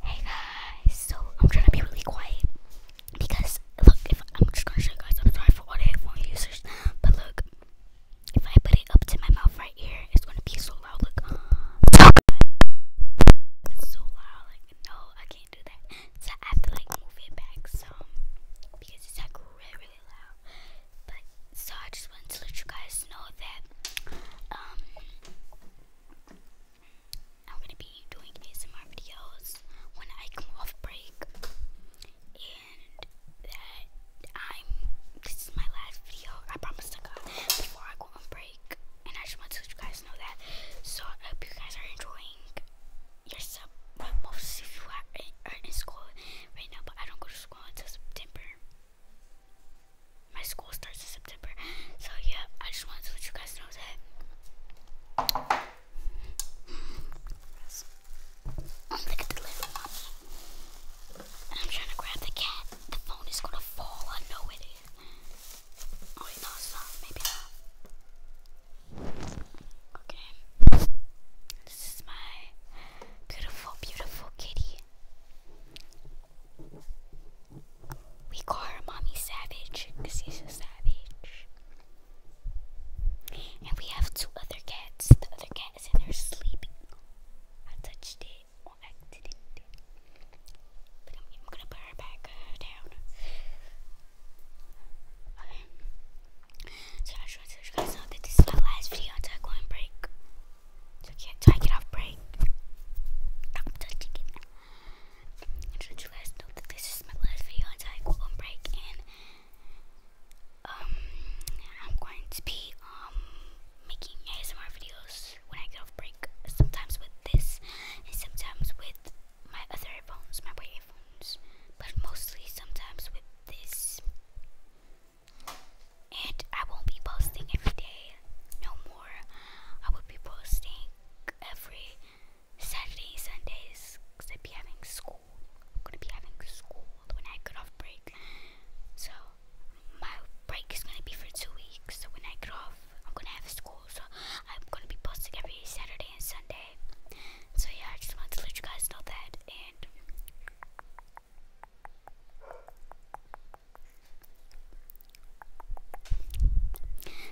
Hey guys, so I'm trying to be really quiet because look, if I'm just gonna show you guys, I'm sorry for what all the headphone users, but look, if I put it up to my mouth right here, it's gonna be so loud. Look, it's so loud. Like no, I can't do that. So I have to like move it back some because it's like really, really loud. But so I just wanted to let you guys know that um, I'm gonna be doing ASMR videos when I come off break, and that I'm. This is my last video. I promise to God before I go on break, and I just want to let you guys know that. So I hope you guys are enjoying yourself. most of you are in school right now, but I don't go to school until September my school starts in September. So yeah, I just wanted to let you guys know that. I'm gonna the little And I'm trying to grab the cat. The phone is gonna fall. I know it is. Oh it's not. Maybe not. Okay. This is my beautiful, beautiful kitty. We call her Mommy Savage because she's a savage. And we have two other cats. The other cat is in there sleeping. I touched it on accident. But I'm, gonna put her back uh, down. So I just wanted to let you guys know that this is my last video until I go on break. So I, can I get off break. I'm I just want you guys know that this is my last video until I go on break and um I'm going to be um making ASMR videos when I get off break. Sometimes with this and sometimes with my other headphones, my Wave headphones, but mostly sometimes with this. And I won't be posting every day no more. I will be posting every Saturday, Sundays, because i I'll be having school. I'm gonna be having school when I get off break. So my break is gonna be for two weeks. So when I get off, I'm gonna have school so I'm gonna be posting every Saturday and Sunday. So yeah, I just wanted to let you guys know that and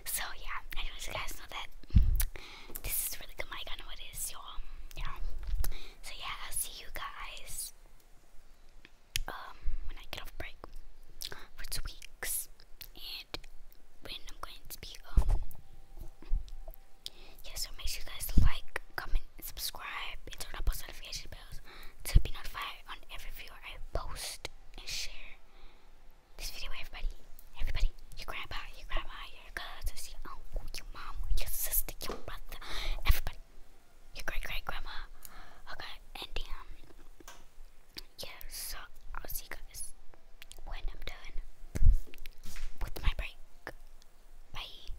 so yeah, I you guys know that this is really good mic, I know it is, y'all. Yeah. So yeah, I'll see you guys um, when I get off break for two weeks, and when I'm going to be um, yeah. So make sure you guys like, comment, subscribe, and turn on post notifications bells to be notified on every video I post and share this video. Everybody, everybody, your grandma, your grandma, your cousins, your uncle, your mom, your sister, your brother, everybody your great great grandma. Okay, and um, yeah, I'll see you guys when I'm done with my break. Bye.